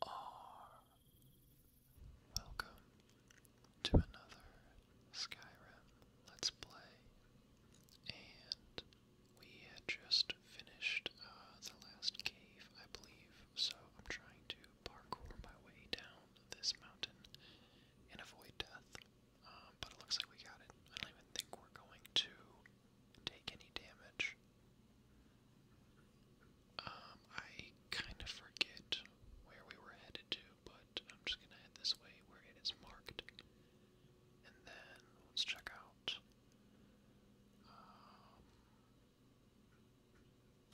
Welcome to another Skyrim Let's Play, and we had just finished uh, the last cave, I believe, so I'm trying to parkour my way down this mountain and avoid death. Um, but it looks like we got it. I don't even think we're going to take any damage. Um, I kind of forget where we were headed to, but I'm just gonna head this way where it is marked. And then let's check out. Um,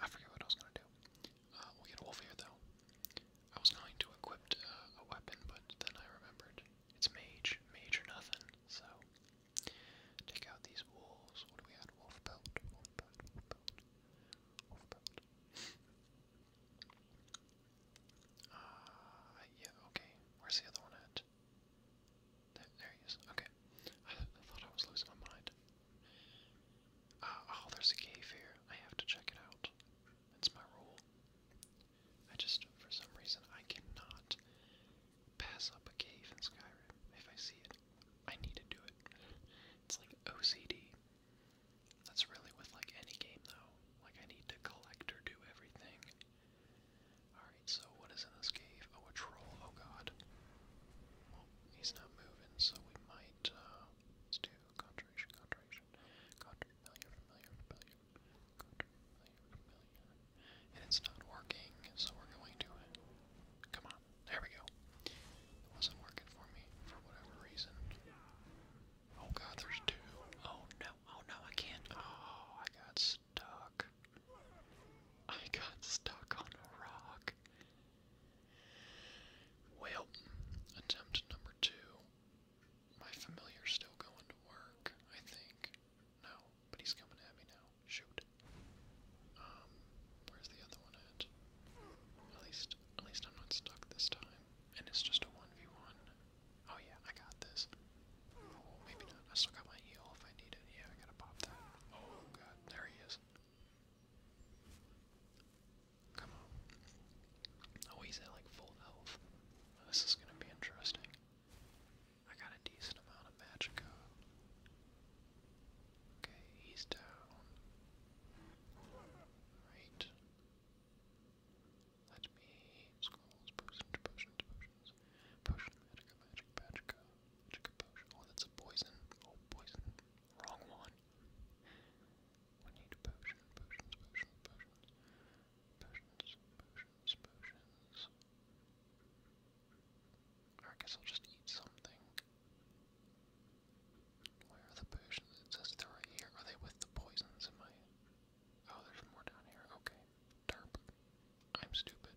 I forget what I was gonna do. Uh, we'll get a wolf here though. I was going to equip uh, a weapon, but then I remembered it's mage, mage or nothing. So take out these wolves. What do we add? Wolf belt, wolf belt, wolf belt, wolf belt. Uh, yeah, okay. Where's the other one at? There, he is. Okay. I, thought I was losing my mind. Uh, oh, there's a cave here. I have to check it out. That's my rule. I just, for some reason, I cannot pass up a cave in Skyrim if I see it. I need to do it. It's like OCD. That's really with like any game though. Like I need to collect or do everything. Alright, so what is in this cave? Oh, a troll. Oh god. Well, he's not moving, so we might, uh, do Contradiction, contradiction. familiar, familiar, familiar. familiar, familiar. And it's not working, so we're going to. Come on, there we go. It wasn't working for me for whatever reason. Oh god, there's two. Oh no, oh no, I can't. Oh, I got stuck. I got stuck on a rock. Well, attempt number two. My familiar's still going to work, I think. No, but he's coming at me now. Shoot. Um, where's the other one at? At least, at least I'm not stuck this time. And it's just a 1v1. Oh yeah, I got this. maybe not. I still got my heal if I need it. Yeah, I gotta pop that. Oh god, there he is. Come on. Oh, he's at like full health. This is gonna be interesting. I got a decent amount of Magicka. Okay, he's down. Right. Let me scrolls, potions, potions, potions. Potion, magica, magic, magica, magica uh, potion. Oh, that's a poison. Oh, poison. Wrong one. We need potion, potions, potion, potions, potions, potions, potions. I guess I'll just eat something. Where are the potions? It they right here. Are they with the poisons? Am I? Oh, there's more down here. Okay. I'm stupid.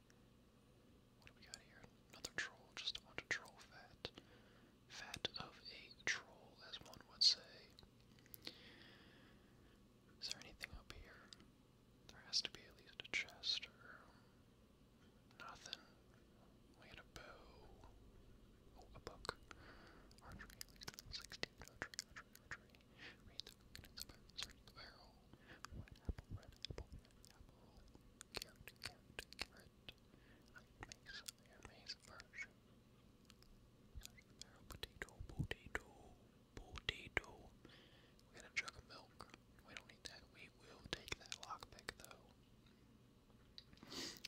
What do we got here? Another troll, just a bunch of troll fat. Fat of a troll, as one would say. Is there anything up here? There has to be at least a chest or nothing. We had a bow. Oh, a book. Archery, at least level 16. Archery, archery, archery. Read the book and inspire, search the barrel. Red apple, red apple, red apple. Carrot, carrot, carrot. Iron mace, iron mace, version. Potato, potato, potato. We got a jug of milk. We don't need that. We will take that lockpick though.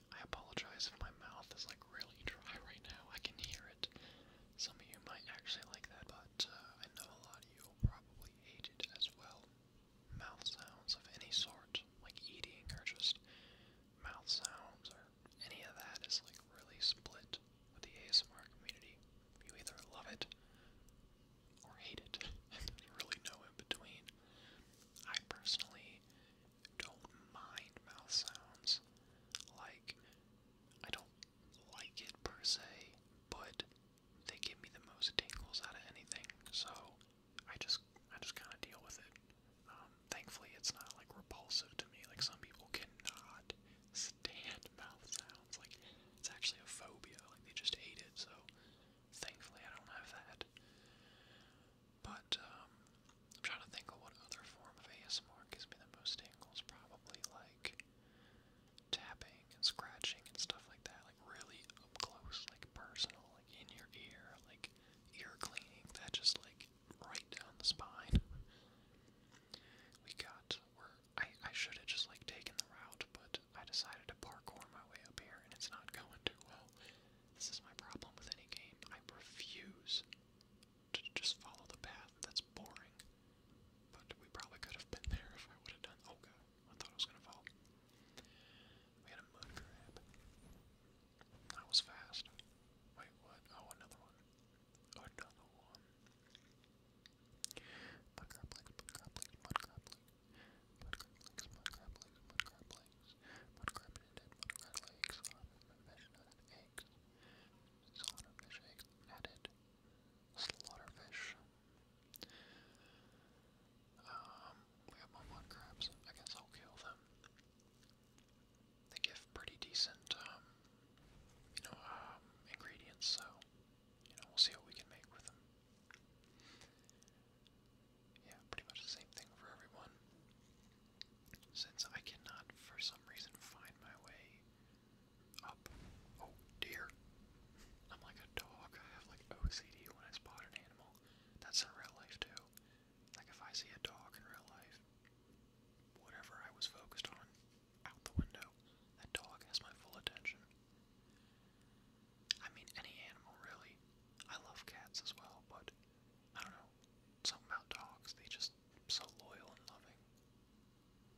I apologize if my mouth is like really dry right now. I can hear it. Some of you might actually like that, but I know a lot of you will probably really hated as well. Mouth sounds of any sort, like eating or just mouth sounds or any of that is like really split with the ASMR community. You either love it or hate it, and there's really no in between. I personally don't mind mouth sounds. Like, I don't like it per se, but they give me the most tingles out of anything. So I just I just kind of deal with it. Um, thankfully, it's not like repulsive to me. Like some people cannot stand mouth sounds. Like it's actually a phobia. Like they just hate it. So thankfully, I don't have that. But um, I'm trying to think of what other form of ASMR gives me the most tingles. Probably like tapping and scratching and stuff like that, like really up close, like personal, like in your ear, like ear cleaning, that just like right down the spine. We got where I I should have just like taken the route, but I decided to parkour my way up here and it's not going too well. This is my problem with any game. I refuse to just follow the path that's boring. But we probably could have been there if I would have done. Oh god, I thought I was gonna fall. We had a mud grab. That was fast. Wait, what? Oh, another one. Another one. Mud crab legs, mud crab legs, mud crab legs. Mud crab legs, mud crab legs, mud crab legs. Mud crab and mud crab legs. Solid fish, nutted eggs. Slaughterfish. Um, we have Momon crabs. I guess I'll kill them. They give pretty decent, um, you know, um, ingredients, so, you know, we'll see what we can make with them. Yeah, pretty much the same thing for everyone. Since I cannot, for some reason, find my way up. Oh dear. I'm like a dog. I have like OCD when I spot an animal. That's in real life too. Like if I see a dog in real life, whatever I was focused on, out the window. That dog has my full attention. I mean, any animal really. I love cats as well, but I don't know. Something about dogs, they just so loyal and loving.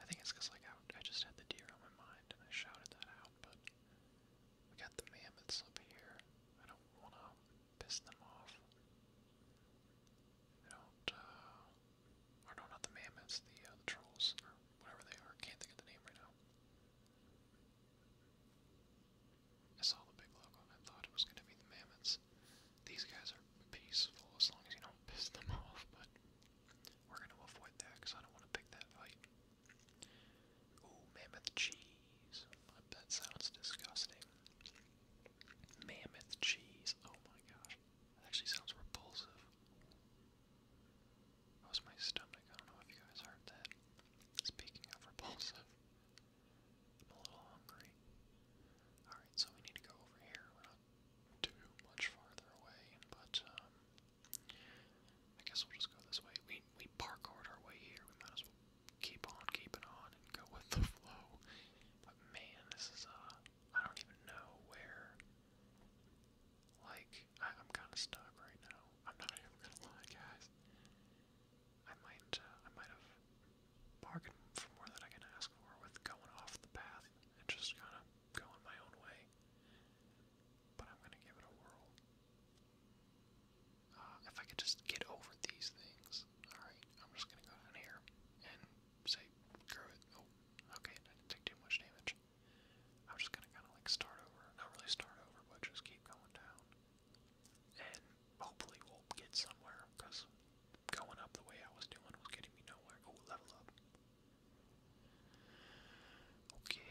I think it's because like I, just had the deer on my mind and I shouted that out, but we got the mammoths up here. I don't want to piss them off. They don't, uh, or no, not the mammoths, the, uh, the trolls, or whatever they are. Can't think of the name right now. I saw the big logo and I thought it was going to be the mammoths. These guys are peaceful as long as you don't piss them off, but we're going to avoid that because I don't want to pick that fight. Ooh, mammoth cheese. That sounds disgusting. Mammoth cheese. Oh my gosh. actually sounds repulsive. That my stomach. I don't know if you guys heard that. Speaking of repulsive, I'm a little hungry. Alright, so we need to go over here. We're not too much farther away, but um I guess we'll just go this way. We we parkoured our way here. We might as well keep on keeping on and go with the flow. But man, this is uh I don't even know where like I, am kinda stuck right now. I'm not even gonna lie guys. I might uh, I might have bargain for more than I can ask for with going off the path and just kind of going my own way. But I'm gonna give it a whirl. Uh, if I could just get over these things, alright, I'm just gonna go down here and say, screw it. Oh, okay, didn't take too much damage. I'm just gonna kind of like start over, not really start over, but just keep going down. And hopefully we'll get somewhere, because going up the way I was doing was getting me nowhere. Oh, level up. Okay.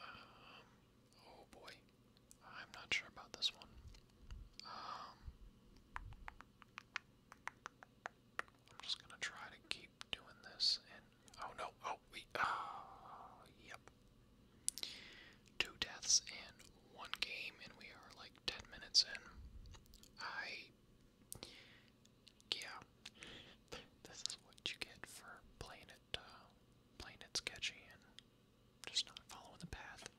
Um, oh boy, I'm not sure about this one. Um, I'm just gonna try to keep doing this, and oh no, oh we, oh, yep. Two deaths in one game, and we are like ten minutes in. I, yeah, this is what you get for playing it. Uh, playing it sketchy and just not following the path.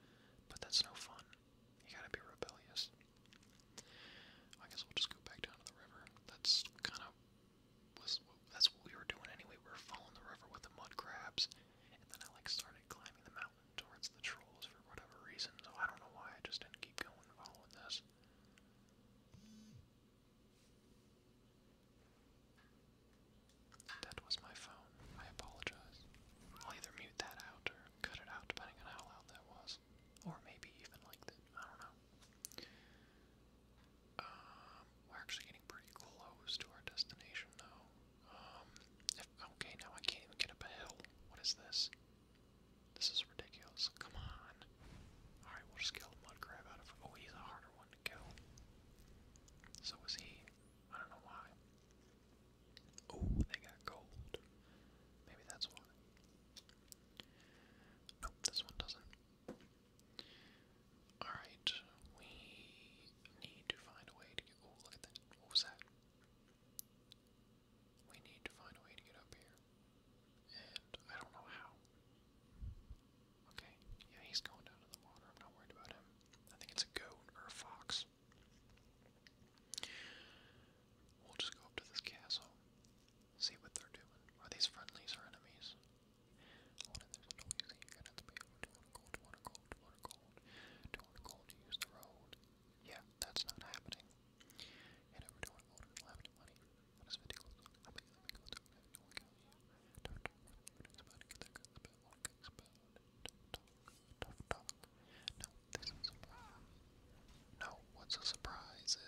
But that's no fun. You gotta be rebellious. I guess we'll just go back down to the river. That's kind of that's what we were doing anyway. We were following the river with the mud crabs, and then I started climbing the mountain towards the trolls for whatever reason. So I don't know why I just didn't keep going following this. That was my phone. I apologize. I'll either mute that out or cut it out, depending on how loud that was. Or maybe even like that. I don't know. Um, we're actually getting pretty close to our destination, though. Um, okay, now I can't even get up a hill. What is this? This is ridiculous. Come on. Alright, we'll just kill crab out of. Oh, he's a harder one to kill. So is he. I don't know why. Oh, they got gold. Maybe that's why. Nope, this one doesn't. Alright, we need to find a way to get. Oh, that. What was that? We need to find a way to get up here. And I don't know how. Okay, yeah, he's going down to the water. I'm not worried about him. I think it's a goat or a fox. We'll just go up to this castle, see what they're doing. Are these friendlies or enemies? Yeah, that's not happening no this is a surprise. No, what's a surprise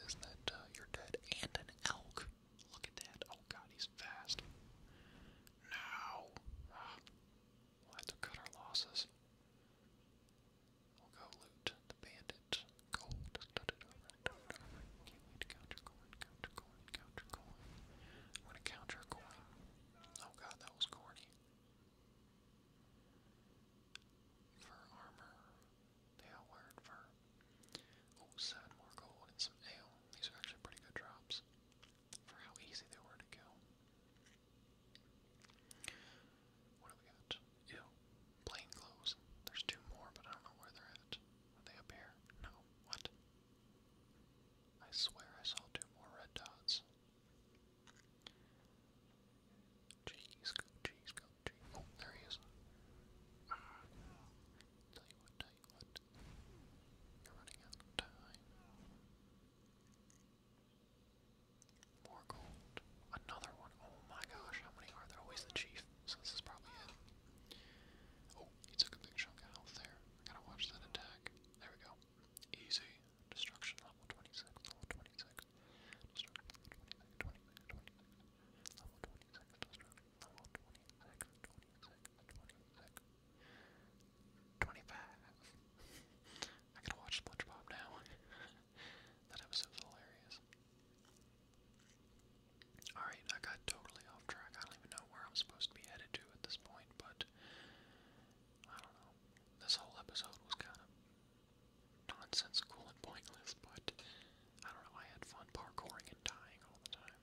is that uh, you're dead and an elk. Look at that. Oh god, he's fast. No. We'll have to cut our losses. We'll go loot the bandit. Gold. Dun, coin, count coin, count coin. I'm gonna count coin. Oh god, that was corny. Fur armor. They fur. Oh, seven more gold and some ale. These are actually pretty good drops for how easy they were to kill. What do we got? Ew. Plain clothes. There's two more, but I don't know where they're at. Are they up here? No. What? I swear I saw two more red dots. Jeez, go, jeez, go, jeez. Oh, there he is. Tell you what, tell you what. You're running out of time. More gold. Another one. Oh my gosh, how many are there? Always oh, the chief, so this is probably it. Oh, he took a big chunk of there. gotta watch that attack. There we go. Easy. Destruction level 26, level 26. Destruction 26, 26. Level 26, destruction level 26, 26, 26. 25. I gotta watch SpongeBob now. That episode's hilarious. Alright, I got totally off track. I don't even know where I'm supposed to be headed to at this point, but I don't know. This whole episode was kind of nonsensical and pointless, but I don't know. I had fun parkouring and dying all the time.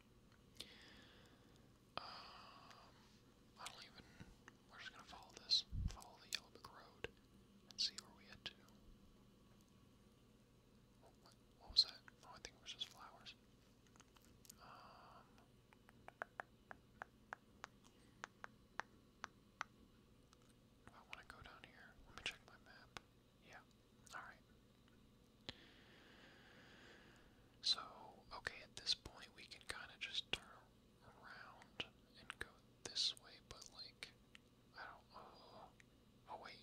Um, I don't even. We're just gonna follow this. Follow the yellow brick road. Let's see where we head to. what, was that? Oh, I think it was just flowers. Um, I want to go down here. Let me check my map. Yeah. All right. So, okay, at this point we can kind of just turn around and go this way, but like I don't know. Uh, oh wait,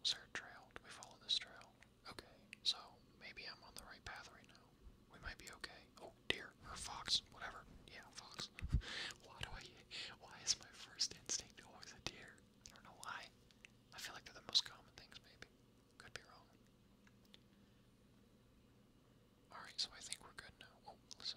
was trail? Do we follow this trail? Okay, so maybe I'm on the right path right now. We might be okay. Oh deer or fox, whatever. Yeah, fox. why do I? Why is my first instinct always a deer? I don't know why. I feel like they're the most common things. Maybe. Could be wrong. Alright, so I think we're good now. Oh, listen,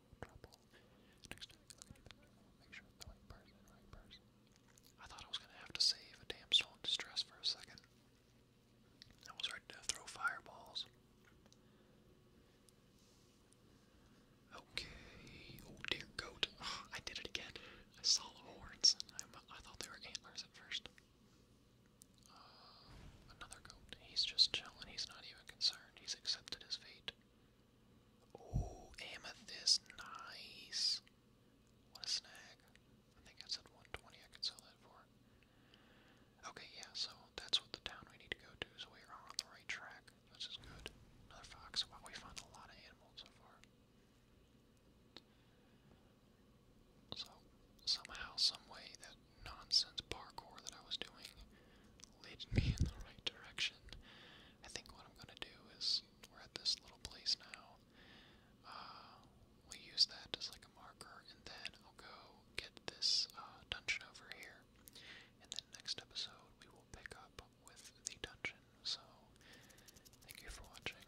I thought I was gonna have to save a damn stone distress for a second. I was ready to throw fireballs. Okay. Oh dear goat. Ah, I did it again. I saw the horns. I, thought they were antlers at first. Uh, another goat. He's just chilling. He's not even concerned. He's accepted his fate. Oh, amethyst. Nice. What a snag. I think I said 120 I could sell that for. Okay, yeah, so that's what the town we need to go to, so we are on the right track, which is good. Another fox. we found a lot of animals so far. So, somehow, some way, that nonsense parkour that I was doing led me in the right direction. I think what I'm gonna do is we're at this little place now. Uh, we use that as like a marker, and then I'll go get this uh, dungeon over here. In the next episode we will pick up with the dungeon. So thank you for watching.